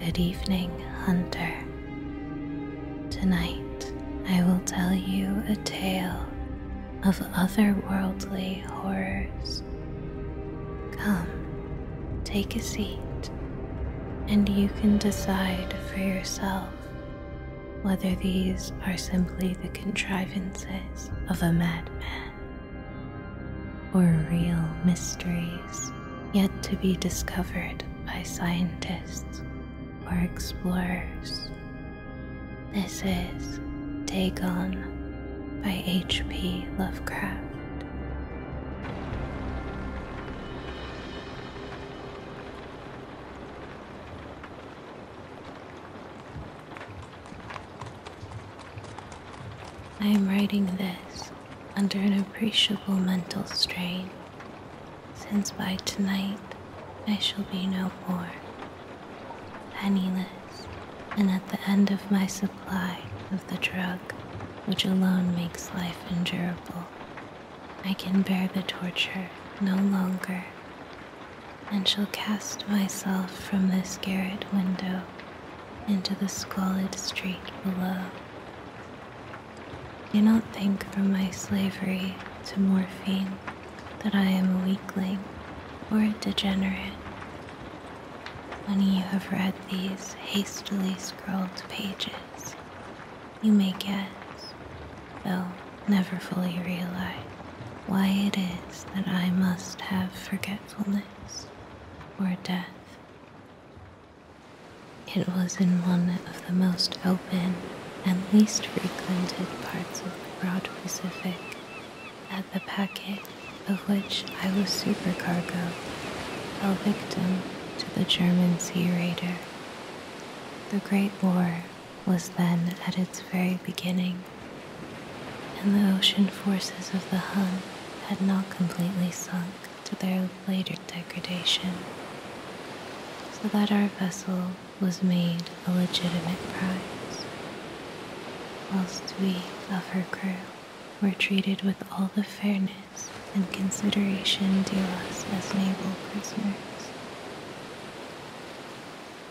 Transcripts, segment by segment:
Good evening, Hunter. Tonight I will tell you a tale of otherworldly horrors. Come, take a seat, and you can decide for yourself whether these are simply the contrivances of a madman or real mysteries yet to be discovered by scientists or explorers. This is Dagon by H.P. Lovecraft. I am writing this under an appreciable mental strain, since by tonight I shall be no more, penniless, and at the end of my supply of the drug which alone makes life endurable. I can bear the torture no longer, and shall cast myself from this garret window into the squalid street below. Do not think from my slavery to morphine that I am a weakling or a degenerate. When you have read these hastily scrawled pages, you may guess, though never fully realize, why it is that I must have forgetfulness or death. It was in one of the most open and least frequented parts of the broad Pacific that the packet of which I was supercargo fell victim to the German Sea Raider. The Great War was then at its very beginning, and the ocean forces of the Hun had not completely sunk to their later degradation, so that our vessel was made a legitimate prize, whilst we of her crew were treated with all the fairness and consideration due us as naval prisoners.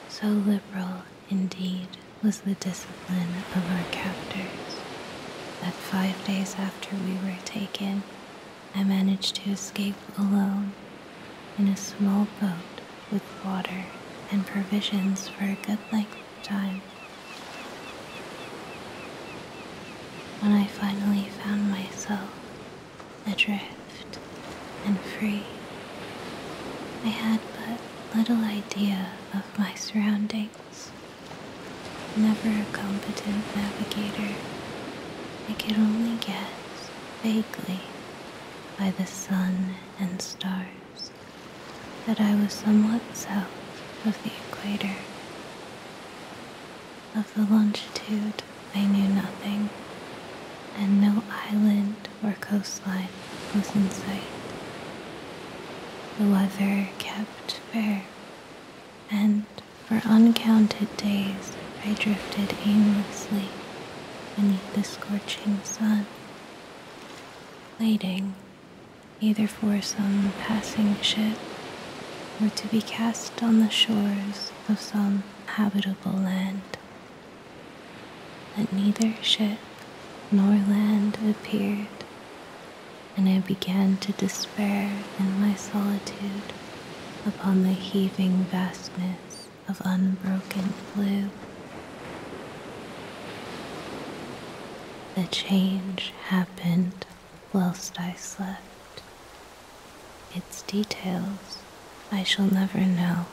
So liberal indeed, was the discipline of our captors, that five days after we were taken, I managed to escape alone in a small boat with water and provisions for a good length of time. When I finally found myself adrift, and free. I had but little idea of my surroundings. Never a competent navigator, I could only guess vaguely by the sun and stars that I was somewhat south of the equator. Of the longitude I knew nothing, and no island land or coastline was in sight. The weather kept fair, and for uncounted days I drifted aimlessly beneath the scorching sun, waiting either for some passing ship or to be cast on the shores of some habitable land that neither ship nor land appeared, and I began to despair in my solitude upon the heaving vastness of unbroken blue. The change happened whilst I slept its details I shall never know,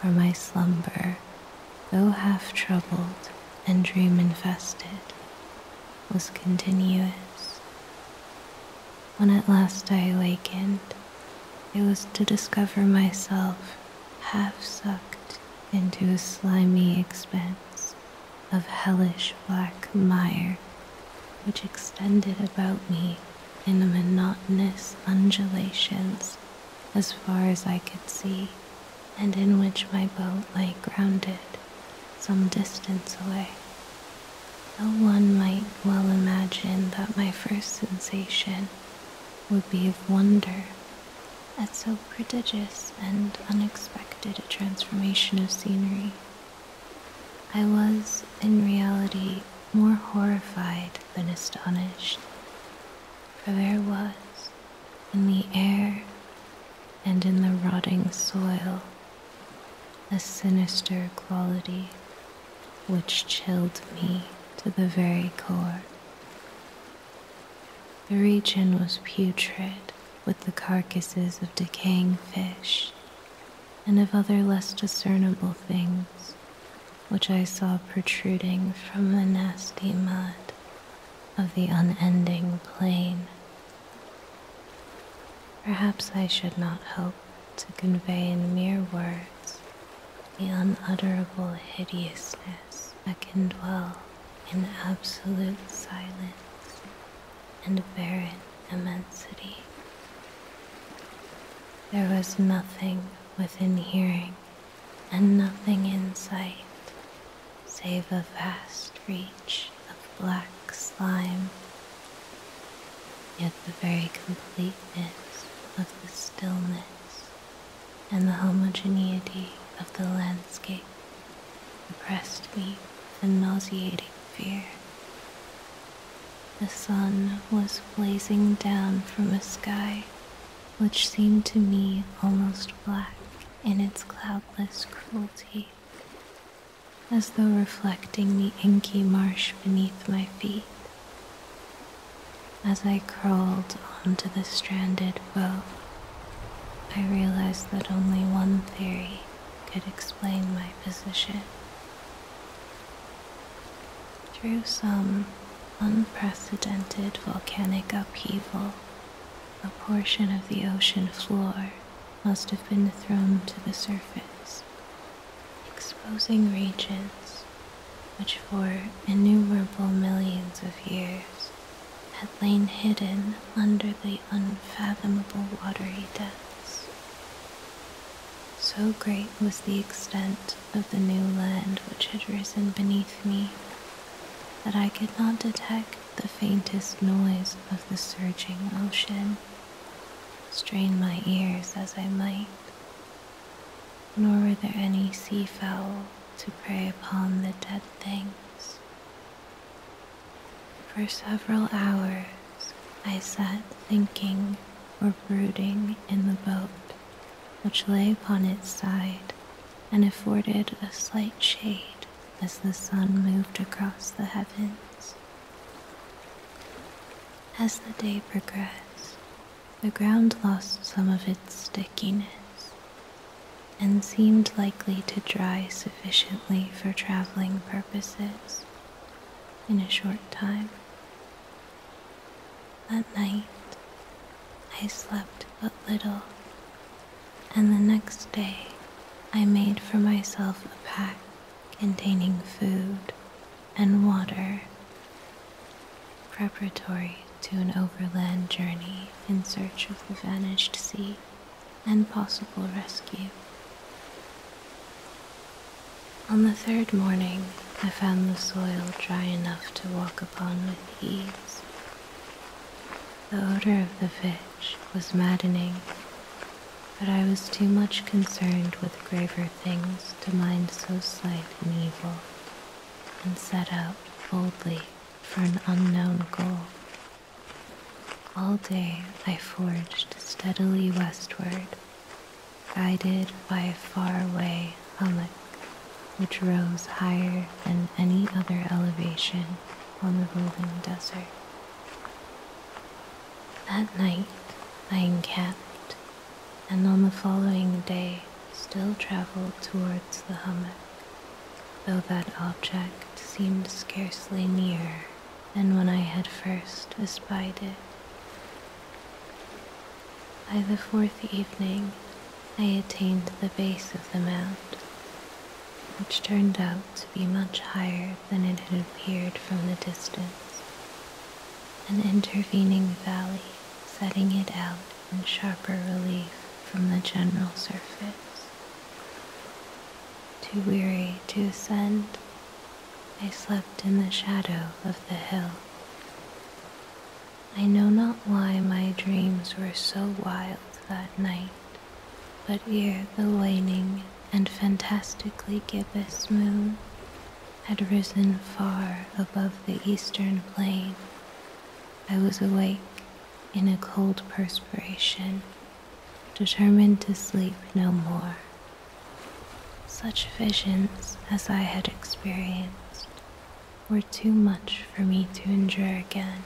for my slumber, though half troubled and dream infested, was continuous. When at last I awakened, it was to discover myself half sucked into a slimy expanse of hellish black mire which extended about me in monotonous undulations as far as I could see, and in which my boat lay grounded some distance away. no one might well imagine that my first sensation would be of wonder at so prodigious and unexpected a transformation of scenery. I was, in reality, more horrified been astonished, for there was in the air and in the rotting soil a sinister quality which chilled me to the very core. The region was putrid with the carcasses of decaying fish and of other less discernible things which I saw protruding from the nasty mud of the unending plain. Perhaps I should not hope to convey in mere words the unutterable hideousness that can dwell in absolute silence and barrenness immensity. There was nothing within hearing and nothing in sight save a vast reach of black slime. Yet the very completeness of the stillness and the homogeneity of the landscape oppressed me with a nauseating fear. The sun was blazing down from a sky which seemed to me almost black in its cloudless cruelty, as though reflecting the inky marsh beneath my feet. As I crawled onto the stranded boat, I realized that only one theory could explain my position. Through some unprecedented volcanic upheaval, a portion of the ocean floor must have been thrown to the surface, exposing regions which for innumerable millions of years had lain hidden under the unfathomable watery depths. So great was the extent of the new land which had risen beneath me that I could not detect the faintest noise of the surging ocean, strain my ears as I might, nor were there any sea fowl to prey upon the dead things. For several hours, I sat thinking or brooding in the boat, which lay upon its side and afforded a slight shade as the sun moved across the heavens. As the day progressed, the ground lost some of its stickiness and seemed likely to dry sufficiently for traveling purposes in a short time. That night I slept but little, and the next day I made for myself a pack containing food and water preparatory to an overland journey in search of the vanished sea and possible rescue. On the third morning, I found the soil dry enough to walk upon with ease. The odor of the vetch was maddening, but I was too much concerned with graver things to mind so slight an evil, and set out boldly for an unknown goal. All day I forged steadily westward, guided by a faraway hummock which rose higher than any other elevation on the rolling desert. That night I encamped, and on the following day still traveled towards the hummock, though that object seemed scarcely near and when I had first espied it. By the fourth evening, I attained the base of the mount, which turned out to be much higher than it had appeared from the distance, an intervening valley setting it out in sharper relief from the general surface. Too weary to ascend, I slept in the shadow of the hill. I know not why my dreams were so wild that night, but ere the waning and fantastically gibbous moon had risen far above the eastern plain, I was awake in a cold perspiration determined to sleep no more. Such visions as I had experienced were too much for me to endure again,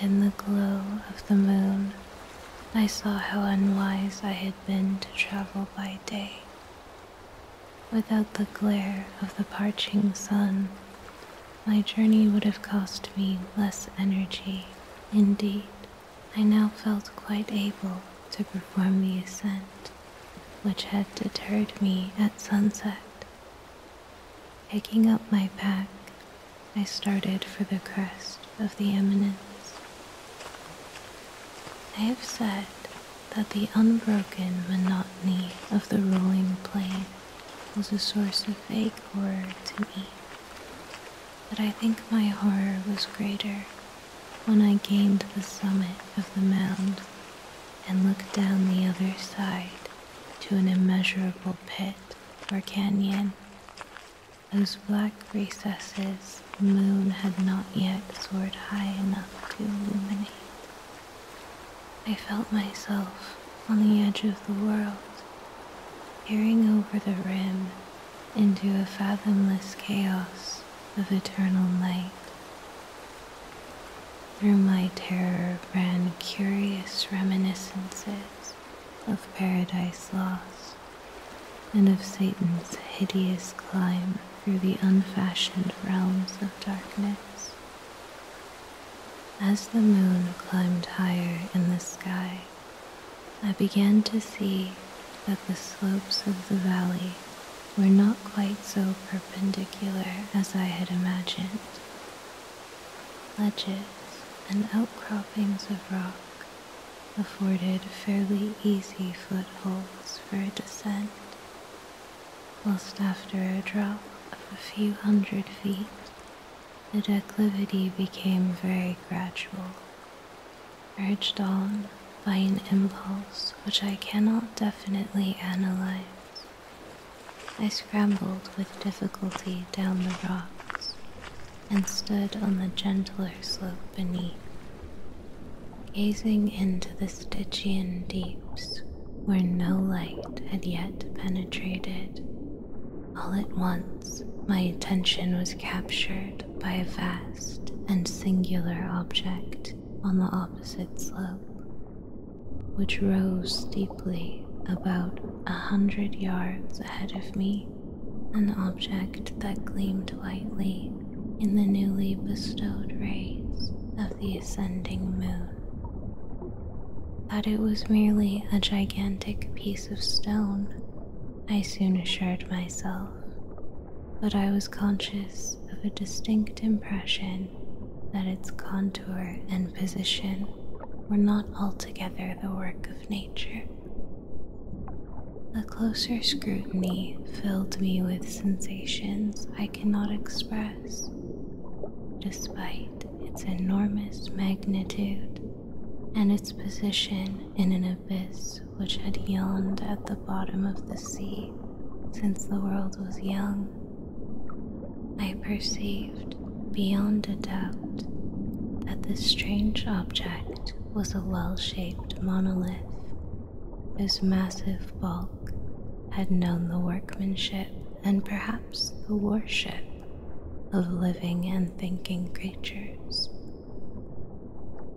and in the glow of the moon, I saw how unwise I had been to travel by day. Without the glare of the parching sun, my journey would have cost me less energy Indeed, I now felt quite able to perform the ascent, which had deterred me at sunset. Taking up my pack, I started for the crest of the eminence. I have said that the unbroken monotony of the rolling plain was a source of vague horror to me. But I think my horror was greater when I gained the summit of the mound and looked down the other side to an immeasurable pit or canyon. Those black recesses the moon had not yet soared high enough to illuminate. I felt myself on the edge of the world, peering over the rim into a fathomless chaos of eternal night. Through my terror ran curious reminiscences of Paradise Lost and of Satan's hideous climb through the unfashioned realms of darkness. As the moon climbed higher in the sky, I began to see that the slopes of the valley were not quite so perpendicular as I had imagined. Ledges and outcroppings of rock afforded fairly easy footholds for a descent, whilst after a drop of a few hundred feet, the declivity became very gradual, urged on by an impulse which I cannot definitely analyze. I scrambled with difficulty down the rocks and stood on the gentler slope beneath, gazing into the Stygian deeps where no light had yet penetrated all at once, my attention was captured by a vast and singular object on the opposite slope, which rose steeply about a hundred yards ahead of me. An object that gleamed whitely in the newly bestowed rays of the ascending moon. That it was merely a gigantic piece of stone, I soon assured myself, but I was conscious of a distinct impression that its contour and position were not altogether the work of nature. A closer scrutiny filled me with sensations I cannot express, despite its enormous magnitude and its position in an abyss which had yawned at the bottom of the sea since the world was young. I perceived beyond a doubt that this strange object was a well shaped monolith whose massive bulk had known the workmanship and perhaps the worship of living and thinking creatures.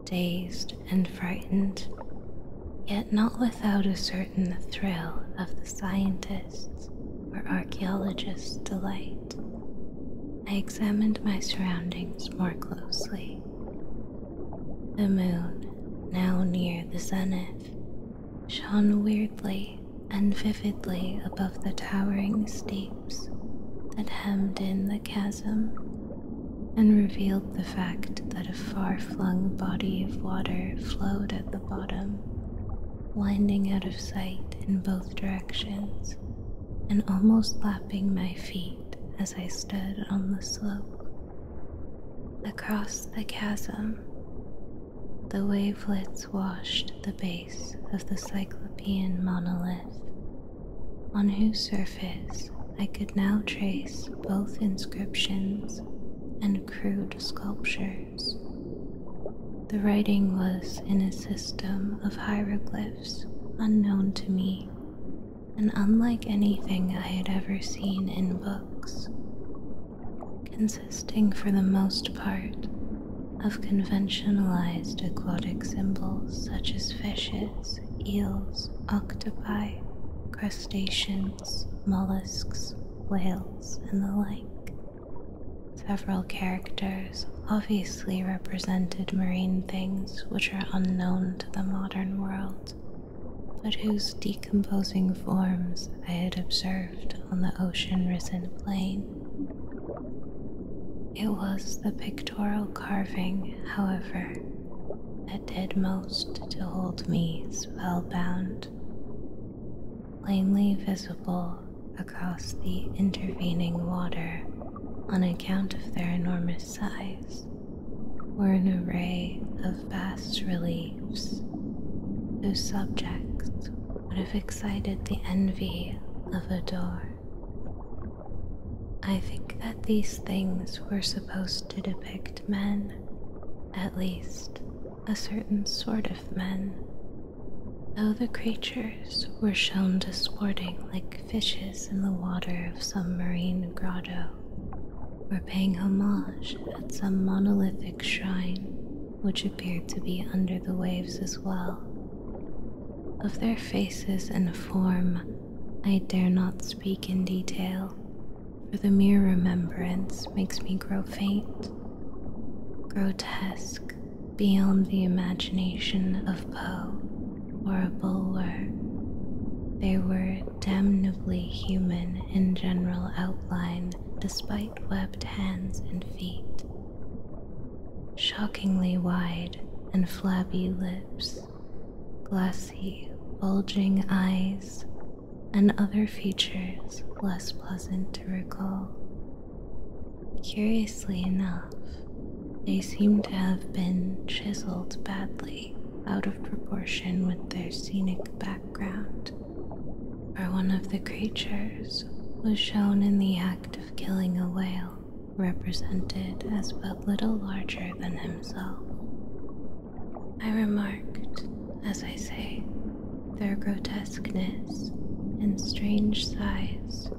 Dazed and frightened, yet not without a certain thrill of the scientist or archaeologist's delight, I examined my surroundings more closely. The moon, now near the zenith, shone weirdly and vividly above the towering steeps that hemmed in the chasm and revealed the fact that a far flung body of water flowed at the bottom, winding out of sight in both directions and almost lapping my feet as I stood on the slope. Across the chasm, the wavelets washed the base of the cyclopean monolith, on whose surface I could now trace both inscriptions and crude sculptures. The writing was in a system of hieroglyphs unknown to me and unlike anything I had ever seen in books consisting for the most part of conventionalized aquatic symbols such as fishes, eels, octopi, crustaceans, mollusks, whales, and the like. Several characters obviously represented marine things which are unknown to the modern world, but whose decomposing forms I had observed on the ocean risen plain. It was the pictorial carving, however, that did most to hold me spellbound. Plainly visible across the intervening water on account of their enormous size were an array of fast reliefs whose subjects would have excited the envy of a Adore. I think that these things were supposed to depict men, at least a certain sort of men, though the creatures were shown disporting like fishes in the water of some marine grotto or paying homage at some monolithic shrine which appeared to be under the waves as well. Of their faces and form, I dare not speak in detail, for the mere remembrance makes me grow faint. Grotesque beyond the imagination of Poe or a Bulwer, they were damnably human in general outline despite webbed hands and feet, shockingly wide and flabby lips, glassy, bulging eyes, and other features less pleasant to recall. Curiously enough, they seem to have been chiseled badly out of proportion with their scenic background where one of the creatures was shown in the act of killing a whale represented as but little larger than himself. I remarked, as I say, their grotesqueness and strange size,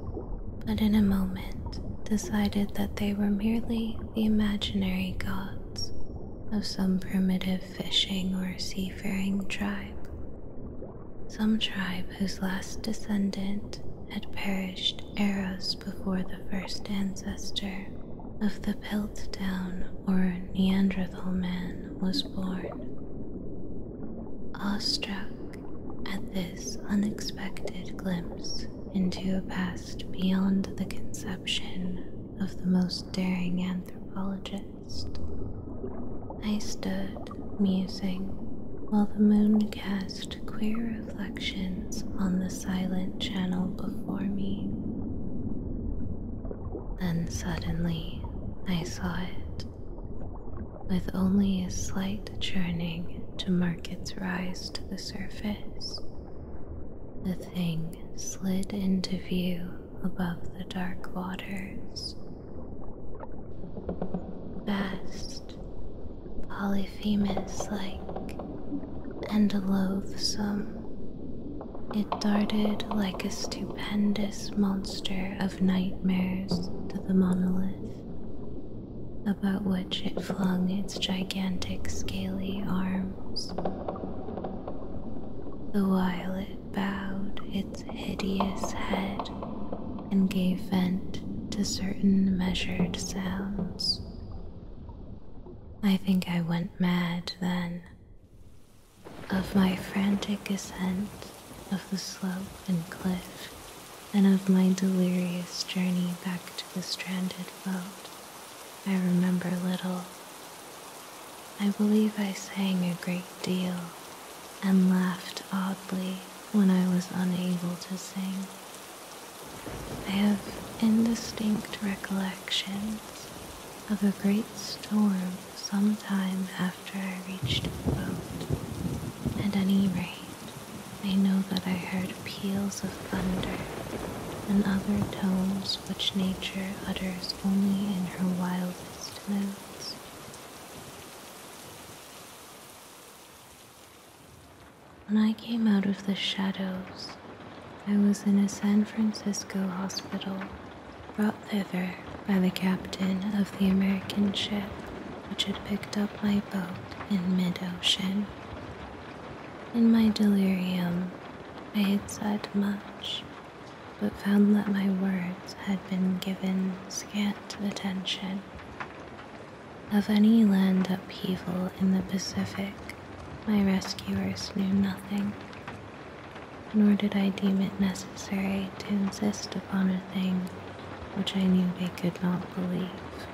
but in a moment decided that they were merely the imaginary gods of some primitive fishing or seafaring tribe, some tribe whose last descendant had perished eras before the first ancestor of the Piltdown or Neanderthal man was born. Awe struck at this unexpected glimpse into a past beyond the conception of the most daring anthropologist. I stood musing while the moon cast queer reflections on the silent channel before me. Then suddenly I saw it, with only a slight churning to mark its rise to the surface. The thing slid into view above the dark waters. Vast, polyphemus like, and loathsome, it darted like a stupendous monster of nightmares to the monolith, about which it flung its gigantic scaly arms the while it bowed its hideous head and gave vent to certain measured sounds. I think I went mad then. Of my frantic ascent of the slope and cliff, and of my delirious journey back to the stranded boat, I remember little. I believe I sang a great deal and laughed oddly when I was unable to sing. I have indistinct recollections of a great storm some time after I reached the boat. At any rate, I know that I heard peals of thunder and other tones which nature utters only in her wildest moods. When I came out of the shadows, I was in a San Francisco hospital brought thither by the captain of the American ship which had picked up my boat in mid ocean. In my delirium, I had said much, but found that my words had been given scant attention. Of any land upheaval in the Pacific, my rescuers knew nothing, nor did I deem it necessary to insist upon a thing which I knew they could not believe.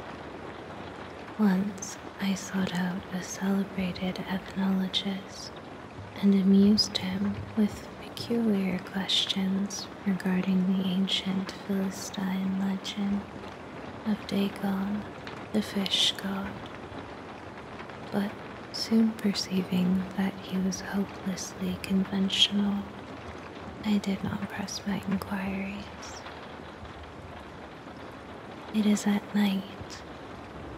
Once I sought out a celebrated ethnologist and amused him with peculiar questions regarding the ancient Philistine legend of Dagon, the fish god. But soon perceiving that he was hopelessly conventional, I did not press my inquiries. It is at night,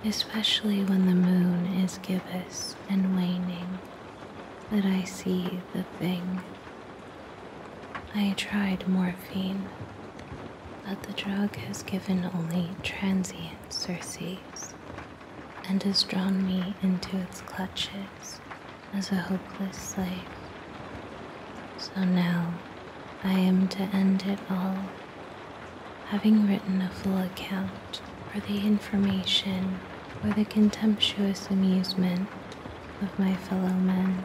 especially when the moon is gibbous and waning, that I see the thing. I tried morphine, but the drug has given only transient surcease and has drawn me into its clutches as a hopeless slave. So now I am to end it all having written a full account for the information or the contemptuous amusement of my fellow men.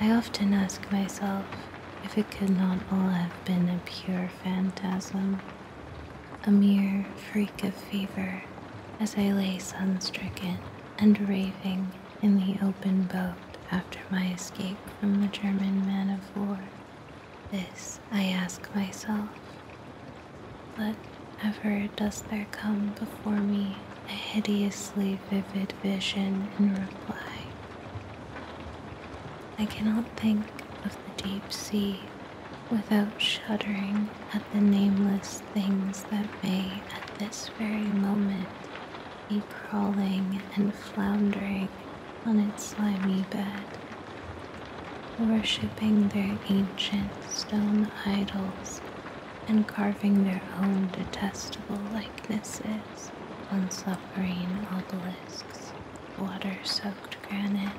I often ask myself if it could not all have been a pure phantasm, a mere freak of fever, as I lay sunstricken and raving in the open boat after my escape from the German man of war? This I ask myself. But ever does there come before me a hideously vivid vision in reply. I cannot think of the deep sea without shuddering at the nameless things that may at this very moment be crawling and floundering on its slimy bed, worshipping their ancient stone idols and carving their own detestable likenesses on suffering obelisks, water soaked granite.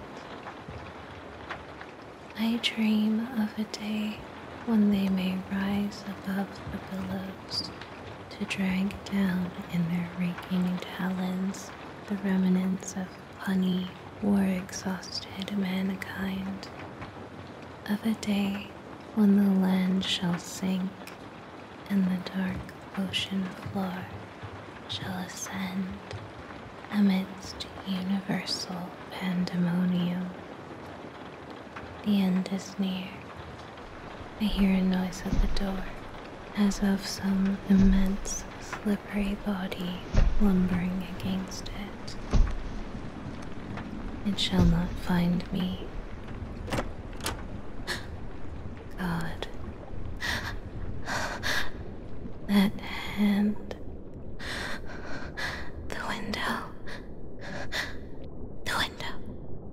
I dream of a day when they may rise above the billows to drag down in their raking talons the remnants of honey war exhausted mankind. Of a day when the land shall sink and the dark ocean floor shall ascend amidst universal pandemonium. The end is near. I hear a noise at the door, as of some immense, slippery body lumbering against it. It shall not find me. God. That hand. The window. The window.